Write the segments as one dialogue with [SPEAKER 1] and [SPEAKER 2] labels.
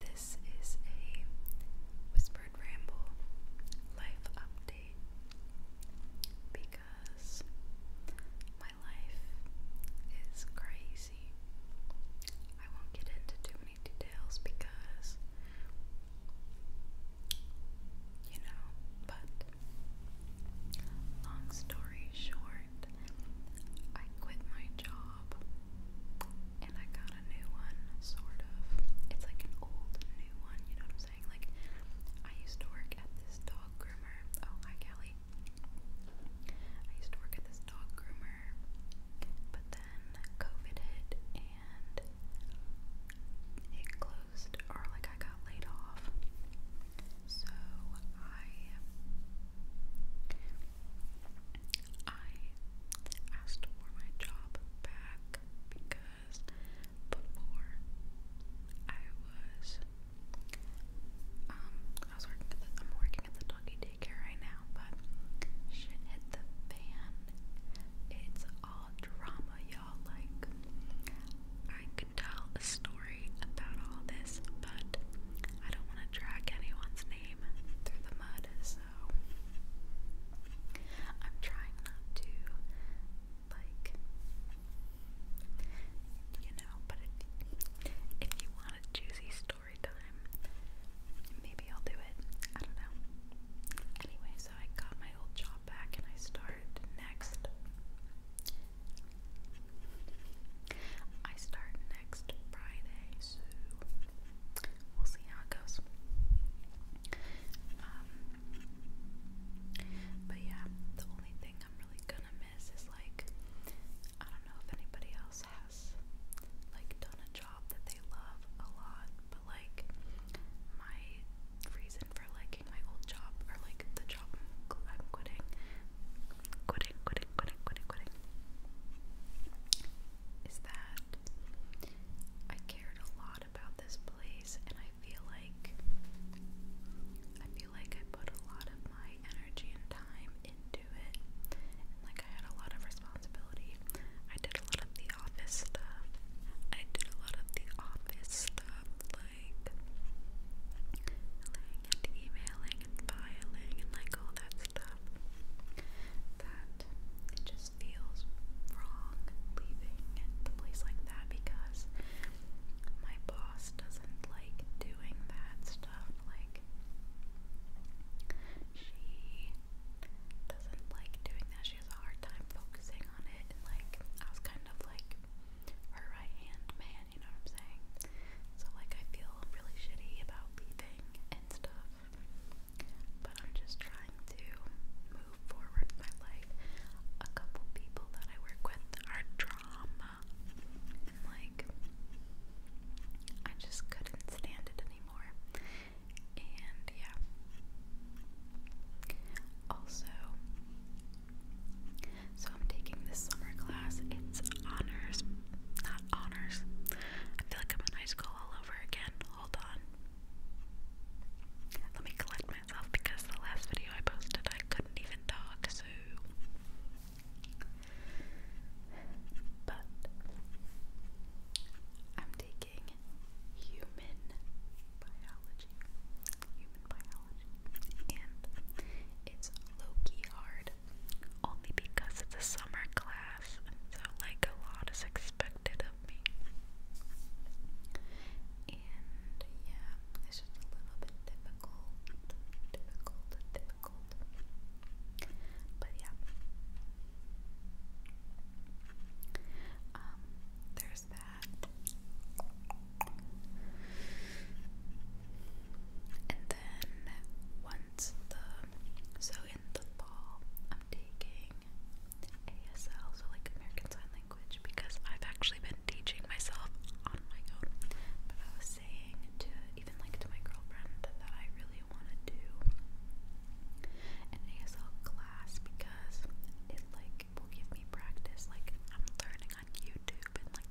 [SPEAKER 1] This is a whispered ramble life update because my life is crazy. I won't get into too many details because you know, but long story short, I quit my job and I got a new one, sort of. It's like an old new one, you know what I'm saying? Like, I used to work at this dog groomer. Oh, hi, Callie. I used to work at this dog groomer, but then COVID hit and it closed, or like I got laid off. So I. I asked for my job back because before I was um I was working I'm working at the doggy daycare right now, but shit hit the fan. It's all drama, y'all. Like I could tell a story about all this, but I don't want to drag anyone's name through the mud, so I'm trying not to, like, you know, but if, you want a juicy story time, maybe I'll do it. I don't know. Anyway, so I got my old job back and I start next. I start next Friday, so we'll see how it goes. Um, but yeah, the only thing I'm really gonna miss is like, I don't know if anybody else has like done a job that they love a lot, but like, my reason for liking my old job, or like the job I'm, I'm quitting, quitting, quitting, quitting, quitting, quitting is that I cared a lot about this place and I feel like I feel like I put a lot of my energy and time into it like I had a lot of responsibility. I did a lot of the office stuff. I did a lot of the office stuff like filling and emailing and filing and like all that that it just feels wrong leaving the place like that because my boss doesn't like doing that stuff. Like, she doesn't like doing that. She has a hard time focusing on it. And, like, I was kind of like her right hand man you know what I'm saying? So like I feel really shitty about leaving and stuff. But I'm just trying to move forward with my life. A couple people that I work with are drama. And like I just couldn't stand it anymore. And yeah. Also, so I'm taking this summer class. It's honors, not honors. I feel like I'm in high school all over again. Hold on. Let me collect myself because the last video I posted I couldn't even talk, so but I'm taking human biology. Human biology. And it's low-key hard it only because it's a summer class, and so like a lot is expected of me. And yeah, it's just a little bit difficult, difficult, difficult. But yeah. Um, there's that and then once the so in the fall I'm taking ASL, so like American Sign Language, because I've actually been teaching myself on my own. But I was saying to even like to my girlfriend that I really want to do an ASL class because it like will give me practice. Like I'm learning on YouTube and like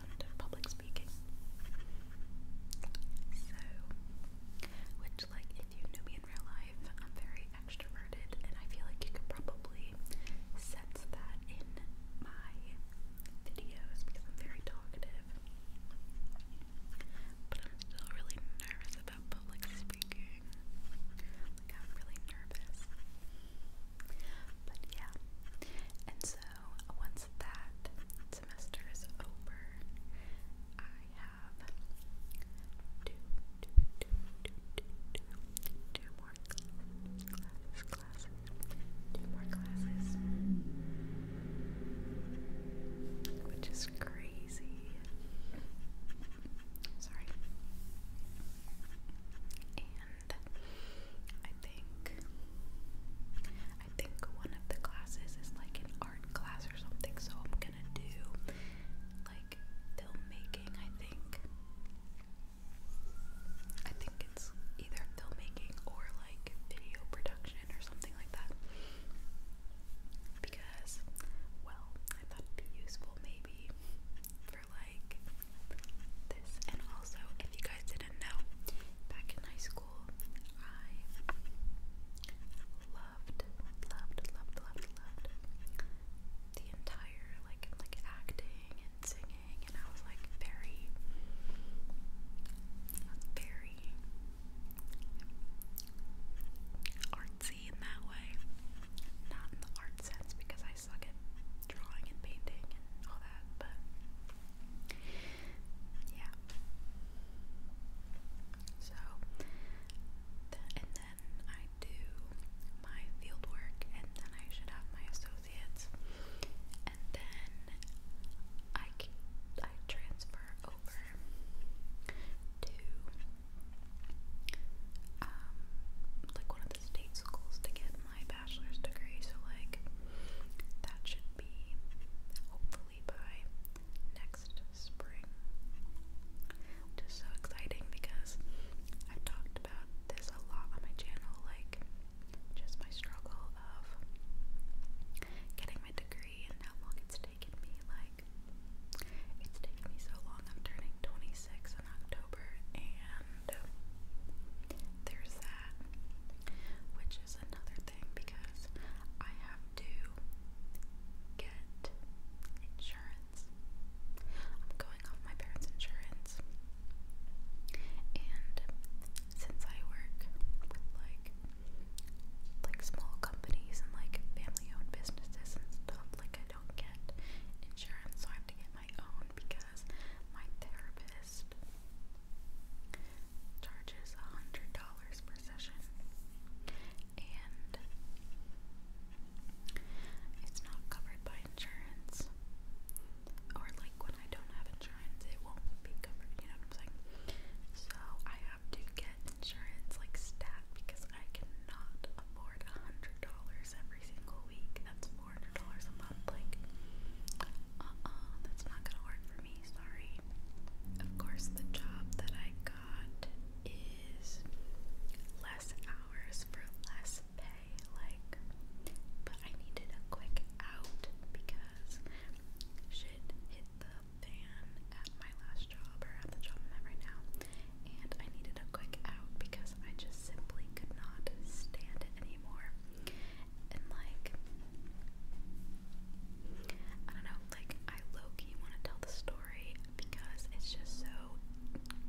[SPEAKER 1] and public speaking. So, which, like, if you knew me in real life, I'm very extroverted, and I feel like you could probably sense that in my videos because I'm very talkative. But I'm still really nervous about public speaking. Like, I'm really nervous. But yeah. And so once that semester is over, I have two more classes, which is crazy. Sorry. I think I think one of the classes is like an art class or something, so I'm gonna do like filmmaking, I think. I think it's either filmmaking or like video production or something like that. Because, well, I thought it'd be useful maybe for like this. And also, if you guys didn't know, back in high school, I loved, loved, loved, loved, loved the entire like like acting and singing, and I was like very, very artsy in that way. Not in the art sense because I I suck at drawing and painting and all that, but yeah. So, and then I do my field and then I should have my associates, and then I can, I transfer over to um, like one of the state schools to get my bachelor's degree, so like that should be hopefully by next spring. Which so exciting because I've talked about this a lot on my channel, like just my struggle of getting my degree and how long it's taken me. Like, it's taken me so long. I'm turning 26 books in October, and there's that, which is another thing because I have to get insurance. I'm going off my parents' insurance, and since I work like like small companies and like family-owned businesses and stuff, like I don't get insurance, so I have to get my own because my therapist charges a hundred dollars per session, and it's not covered by insurance. Or like when I don't have insurance, it won't be covered. You know what I'm saying? So I have to get insurance like stat because I cannot afford a hundred dollars every single week. That's four hundred dollars a month. Like, uh-uh, that's not gonna work for me. Sorry. Of course, the job that I got is less hours for less pay. Like, but I needed a quick out because shit hit the fan at my last job or at the job I'm at right now and I needed a quick out because I just simply could not stand it anymore. And like, I don't know, like I low want to tell the story because it's just so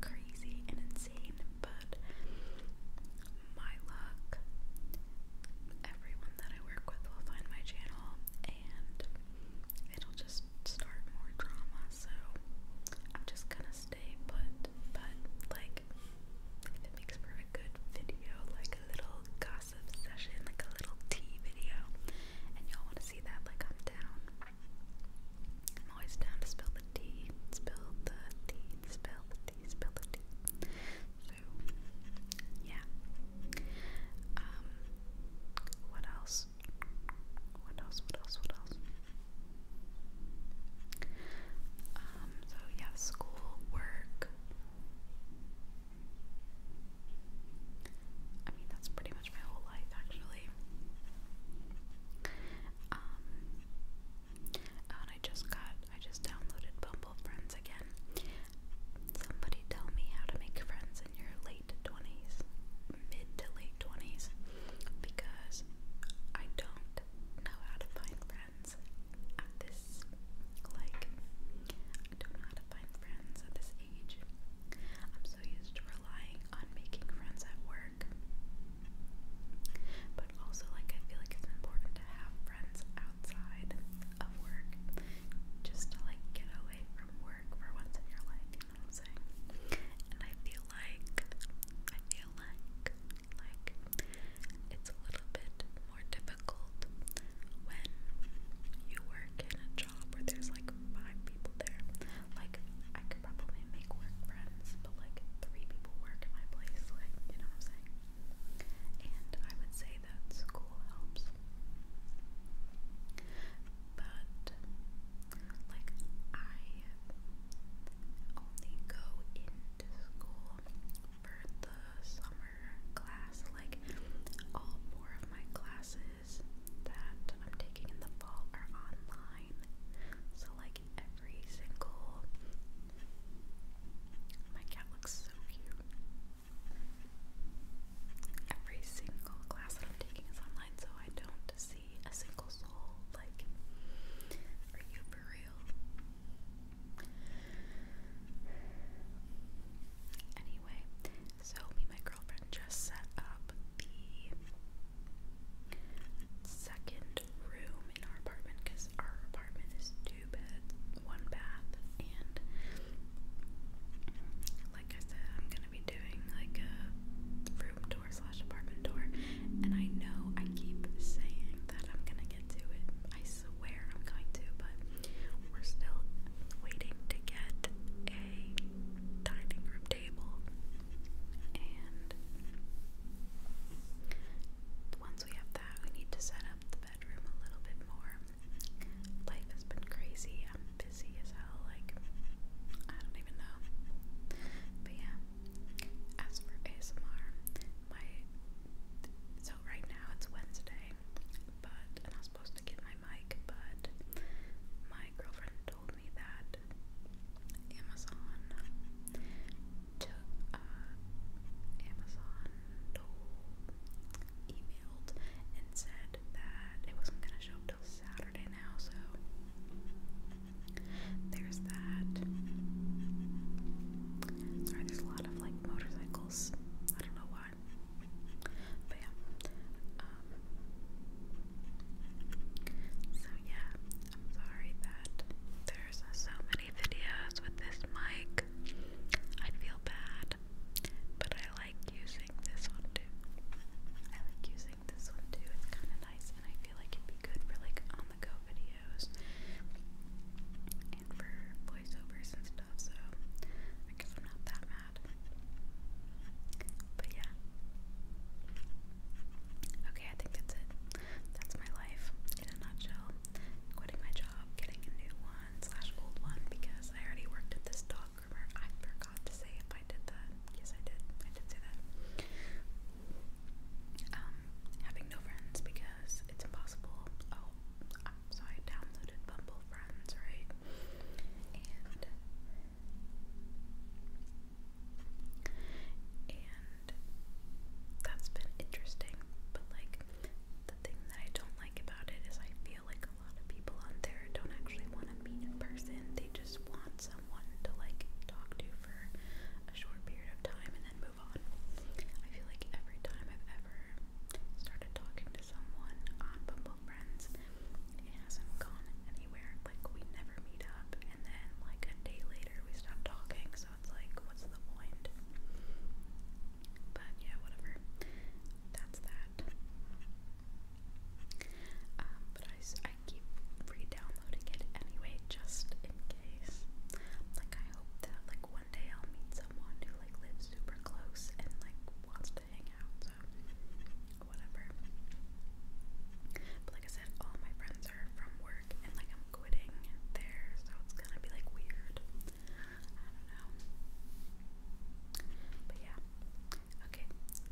[SPEAKER 1] crazy and insane, but my luck, everyone that I work with will find my channel and it'll just start more drama, so I'm just gonna stay put. But, like, if it makes for a good video, like a little gossip session, like a little tea video, and y'all wanna see that, like, I'm down. I'm always down to spill the tea, spill the tea, spill the tea, spill the tea. So, yeah. Um, what else? What else? What else? What else? Um, so yeah, school, work. I mean, that's pretty much my whole life, actually. Um, and I just got, I just downloaded Bumble Friends again. Somebody tell me how to make friends in your late 20s mid to late 20s because I don't know how to find friends at this like I don't know how to find friends at this age. I'm so used to relying on making friends at work. But also like I feel like it's important to have friends outside of work just to like get away from work for once in your life you And I feel like, I feel like, like, it's a little bit more difficult when you work in a job where there's like five people there. Like, I could probably make work friends, but like three people work at my place, like, you know what I'm saying? And I would say that school helps but like I only go into school for the summer class. Like all four of my classes that I'm taking in the fall are online. So like every single my cat looks so cute. Every single class that I'm taking is online, so I don't see a single soul. Like, are you for real? Anyway, so me and my girlfriend just set up the second room in our apartment because our apartment is two beds, one bath, and like I said, I'm gonna gonna be doing like a room tour slash apartment tour, and I know I keep saying that I'm gonna get to it. I swear I'm going to, but we're still waiting to get a dining room table, and once we have that, we need to set up the bedroom a little bit more. Life has been crazy busy as hell. Like, I don't even know. But yeah, as for ASMR, my so right now it's Wednesday, but and I was supposed to get my mic, but my girlfriend told me that Amazon to uh, Amazon told emailed and said that it wasn't gonna show Saturday now, so there's that. Sorry, there's a lot of like motorcycles. I don't know why. But yeah. Um, so yeah, I'm sorry that there's uh, so many videos with this mic. I feel bad, but I like using this one too. I like using this one too. It's kind of nice, and I feel like it'd be good for like on the go videos and for voiceovers and stuff. So I guess I'm not that mad. But yeah. Okay, I think that's it. That's my life in a nutshell. Quitting my job, getting a new one slash old one because I already worked at this dog I forgot to say if I did that. Yes, I did. I did say that. Um, having no friends because it's impossible. Oh, so I downloaded Bumble Friends, right? And and that's been interesting. But like the thing that I don't like about it is I feel like like a lot of people on there don't actually want to meet in person. They just want someone to like talk to for a short period of time and then move on. I feel like every time I've ever started talking to someone on um, Bumble Friends, it hasn't gone anywhere. Like we never meet up and then like a day later we stop talking, so it's like what's the point? But yeah, whatever. That's that. Um, but I, I keep re-downloading it anyway, just in case. Like I hope that like one day I'll meet someone who like lives super close and like wants to hang out. So whatever. But like I said, all my friends are from work and like I'm quitting there, so it's gonna be like weird don't know. But yeah. Okay,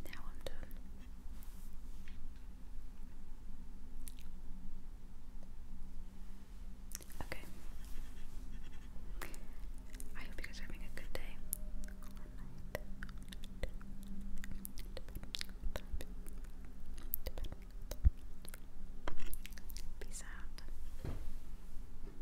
[SPEAKER 1] now I'm done. Okay. I hope you guys are having a good day. Peace out.